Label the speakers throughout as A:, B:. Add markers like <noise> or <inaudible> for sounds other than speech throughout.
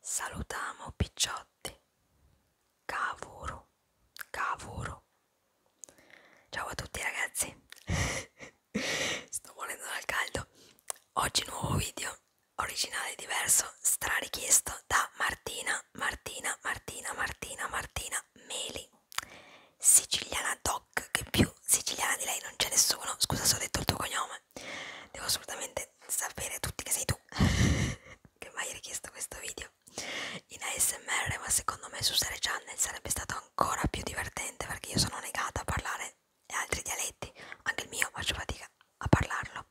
A: Salutamo picciotti. Cavuro, cavuro. Ciao a tutti ragazzi. <laughs> Sto morendo dal caldo. Oggi nuovo video, originale diverso, strarichiesto da Martina, Martina, Martina, Martina, Martina Meli. Siciliana doc, che più siciliana di lei non c'è nessuno. Scusa se ho detto il tuo cognome ma devo assolutamente sapere tutti che sei tu <laughs> che mi hai richiesto questo video in ASMR, ma secondo me su Sere Channel sarebbe stato ancora più divertente perché io sono negata a parlare altri dialetti, anche il mio faccio fatica a parlarlo,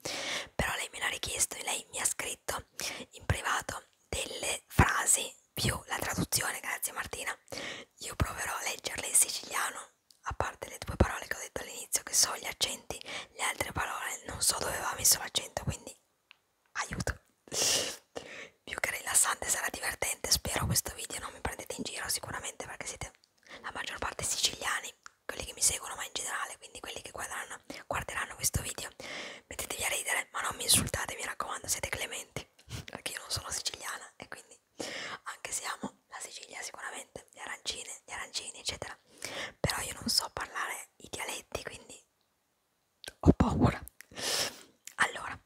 A: però lei me l'ha richiesto e lei mi ha scritto in privato delle frasi più la traduzione, grazie Martina, io proverò a leggerle in siciliano a parte le due parole che ho detto all'inizio che so gli accenti, le altre parole non so dove aveva messo l'accento, quindi aiuto. Più che rilassante sarà divertente, spero questo video non mi prendete in giro sicuramente perché siete la maggior parte siciliani, quelli che mi seguono ma in generale, quindi quelli che guarderanno, guarderanno questo video. Mettetevi a ridere, ma non mi insultate, mi raccomando, siete clementi, <laughs> perché io non sono siciliana e quindi anche se amo no, la Sicilia sicuramente, le arancine, gli arancini eccetera, però io non so parlare i dialetti quindi ho paura. Allora,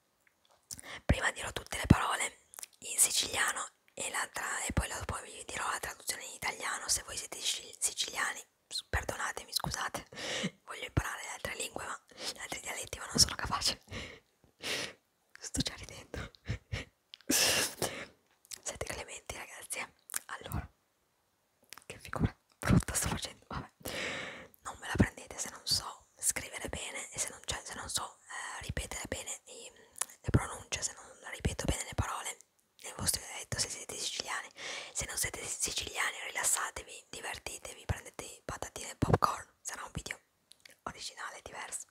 A: prima dirò tutte le parole in siciliano e, la tra e poi, la poi vi dirò la traduzione in italiano, se voi siete siciliani perdonatemi, scusate, voglio imparare le altre lingue ma gli altri dialetti ma non sono capace sto già ridendo siete clementi ragazzi, eh? allora, che figura brutta sto facendo, vabbè, non me la prendete se non so scrivere bene e se non, cioè, se non so eh, ripetere bene i, le pronunce, se non ripeto bene le parole nel vostro dialetto se siete siciliani, se non siete siciliani rilassatevi, divertitevi, prendete patatine e popcorn, sarà un video originale diverso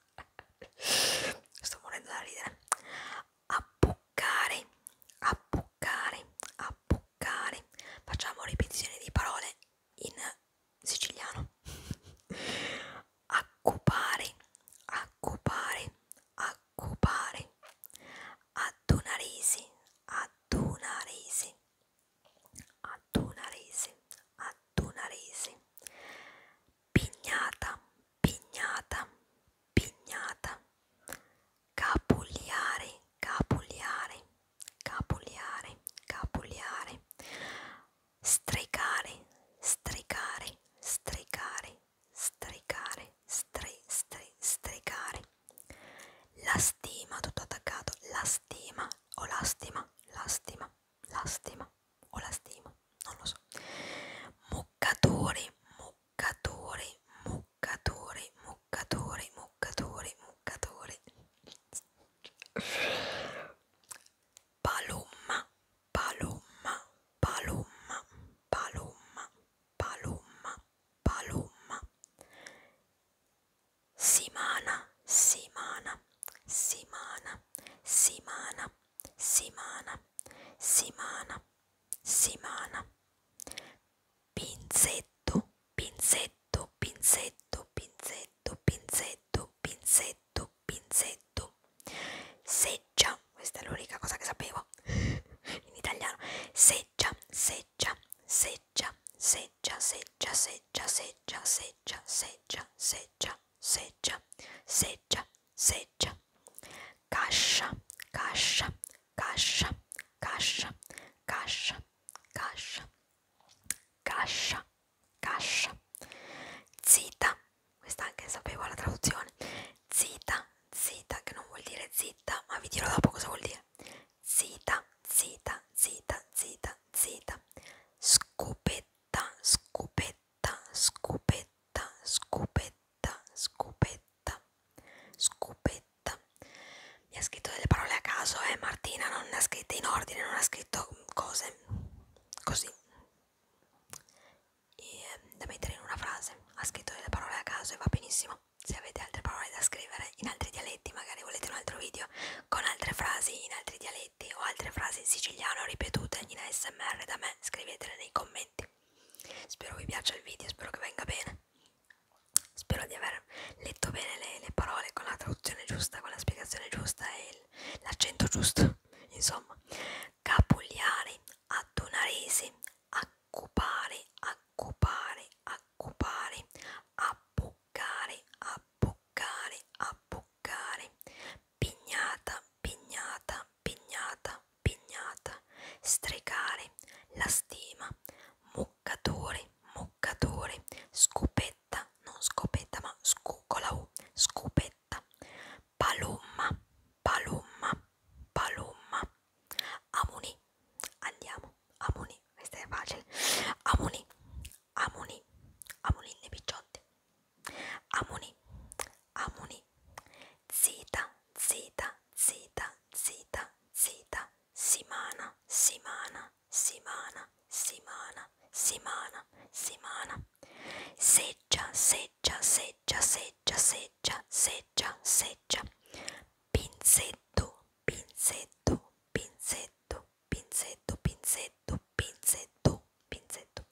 A: <laughs> sto morendo da ridere appuccare, appuccare, appuccare. Facciamo ripetizione di parole in siciliano. <laughs> Accupare, accupare, accupare. Attunarisi, attunarisi, attunarisi, attunarisi. Pignata, pignata, pignata, capugliare, capugliare, capugliare, capugliare, stregare, stregare, stregare, stregare, stre, stre, stregare, la stima, tutto attaccato, la stima o oh, lastima, lastima, lastima, o la stima, non lo so. Muccatore, muccatore, muccatore, muccatore, muccatore, muccatore. Palomma, palomma, palomma, palomma, palomma, palomma. Simana, simana, simana, simana. Simana, Simana, Simana. Pinzetto, pinzetto, pinzetto, pinzetto, pinzetto, pinzetto, pinzetto. Seggia, questa è l'unica cosa che sapevo in italiano. Seggia, seggia, seggia, seggia, seggia, seggia, seggia, seggia, seggia, seggia, seggia, seggia, seggia, Cascia, cascia, cascia, cascia, cascia, cascia, cascia, cascia. Zita, questa anche sapevo la traduzione. Zita, zita, che non vuol dire zitta, ma vi dirò dopo cosa vuol dire. Zita, zita, zita, zita, zita. Scopetta, scopetta scopetta, scopetta, scopetta, scopetta. Mi ha scritto delle parole a caso, eh Martina, non ne ha scritte in ordine, non ha scritto cose così e, ehm, da mettere in una frase. Ha scritto delle parole a caso e va benissimo. Se avete altre parole da scrivere in altri dialetti, magari volete un altro video con altre frasi in altri dialetti o altre frasi in siciliano ripetute in ASMR da me, scrivetele nei commenti. Spero vi piaccia il video, spero che venga bene. Spero di aver letto bene le, le parole con la traduzione giusta, con la spiegazione giusta e l'accento giusto. Insomma, capugliare, attonaresi, accupare, accupare, accupare, appuccare, appuccare, appuccare, pignata, pignata, pignata, pignata, stregare, la stima, muccatore, muccatore, scopetta, non scopetta ma scucola U, scopetta, palomma, palomma, palomma, amuni, andiamo, amuni, questa è facile, amuni, amuni, amuni, ne picciotti Amuni, Amuni, Zita, Zita, Zita, Zita, Zita, Simana, Simana, Simana, Simana, Simana, Simana, Seggia, Seggia, Seggia, Seggia, Seggia, Seggia, Seggia, Pinzetto, Pinzetto, Pinzetto, Pinzetto, Pinzetto, Pinzetto, pinzetto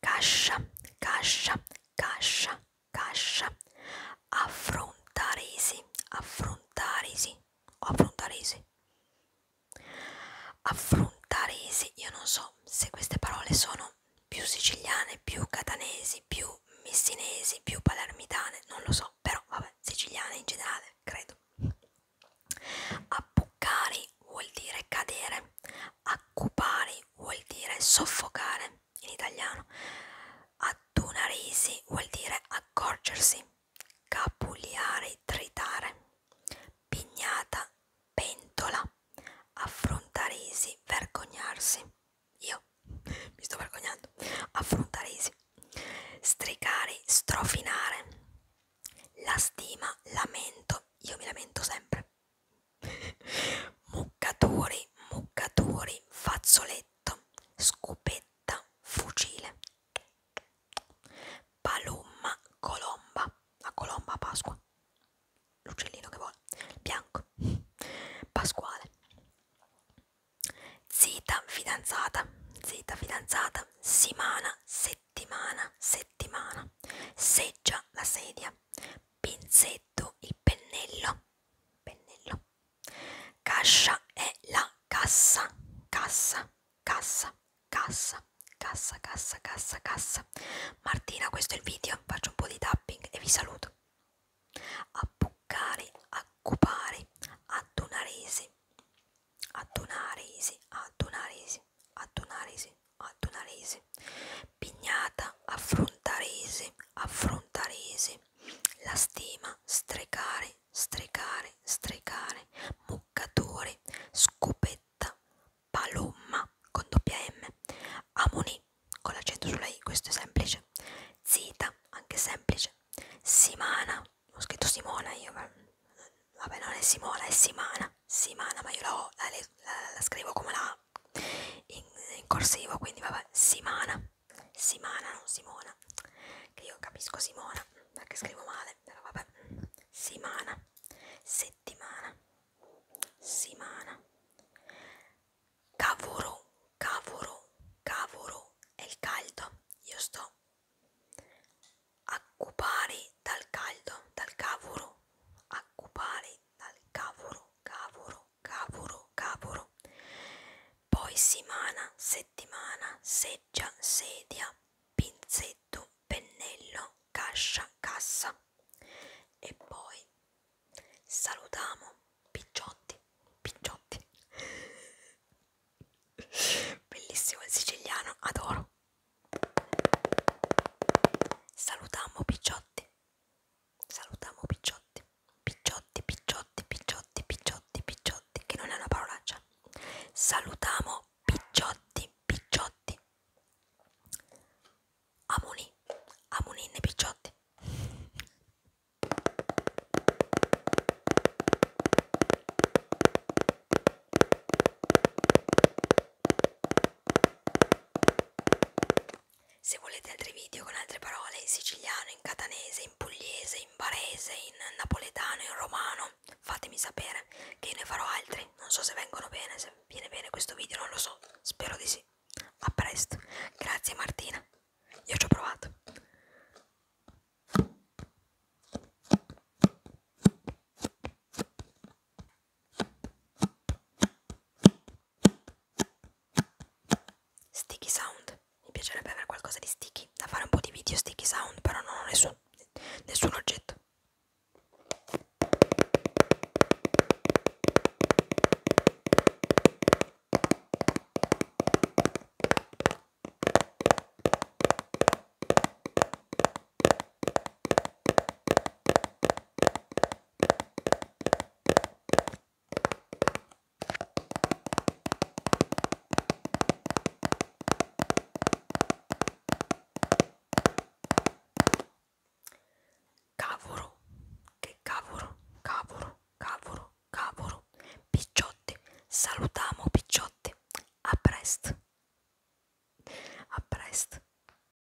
A: cascia cascia cascia cascia affrontaresi affrontaresi o affrontaresi affrontaresi io non so se queste parole sono più siciliane più catanesi più messinesi più palermitane non lo so però vabbè siciliane in generale credo appuccare vuol dire cadere accupare vuol dire soffocare in italiano, attunarisi vuol dire accorgersi, capuliare, tritare, pignata, pentola, affrontarisi, vergognarsi. Io mi sto vergognando, affrontarisi, stricare, strofinare, la stima, lamento, io mi lamento sempre muccatori, muccatori, fazzoletto, scopetta, fucile, palomma, colomba, la colomba a Pasqua, l'uccellino che vola, bianco, pasquale, zita, fidanzata, zita, fidanzata, simana, settimana, settimana, seggia, la sedia, pinzetto, il pennello, pennello. Cascia è la cassa, cassa, cassa, cassa, cassa, cassa, cassa, cassa. Martina, questo è il video, faccio un po' di tapping e vi saluto. Appuccare, accupare, attunaresi, attunaresi, attunaresi, attunaresi, attunaresi. Pignata, affrontaresi, affrontaresi. La stima, strecare, strecare, strecare. Muccatore, scopetta, palomma con doppia M. Amoni, con l'accento sulla I, questo è semplice. Zita, anche semplice. Simana, ho scritto Simona io, vabbè non è Simona, è Simana. Simana, ma io la, ho, la, la, la scrivo come la ma in, in corsivo, quindi vabbè, Simana, Simana, non Simona, che io capisco Simona perché scrivo male, però vabbè, Simana, settimana, Simana, cavuro, cavuro, cavuro, è il caldo, io sto occupare dal caldo, dal cavolo, occupare dal cavoro, cavoro, cavoro, cavoro. Poi simana, settimana, seggia, sedia, pinzetto, pennello, cascia, cassa. E poi salutiamo picciotti, picciotti. <laughs> Bellissimo il siciliano, adoro. Salutiamo picciotti salutiamo picciotti picciotti picciotti picciotti picciotti picciotti che non è una parolaccia salutiamo picciotti picciotti amuni amuninne picciotti se volete altri video con altre parole in siciliano, in catanese, in pugliese, in barese, in napoletano, in romano, fatemi sapere che ne farò altri. Non so se vengono bene, se viene bene questo video, non lo so. Spero di sì. A presto. Grazie Martina. Io ci ho provato. Sticky sound, mi piacerebbe avere qualcosa di sticky, da fare un po' di video sticky sound, però non ho nessun, nessun oggetto. Cavoro, che cavoro, cavoro, cavoro, cavoro, picciotti, salutiamo picciotti, a presto, a presto.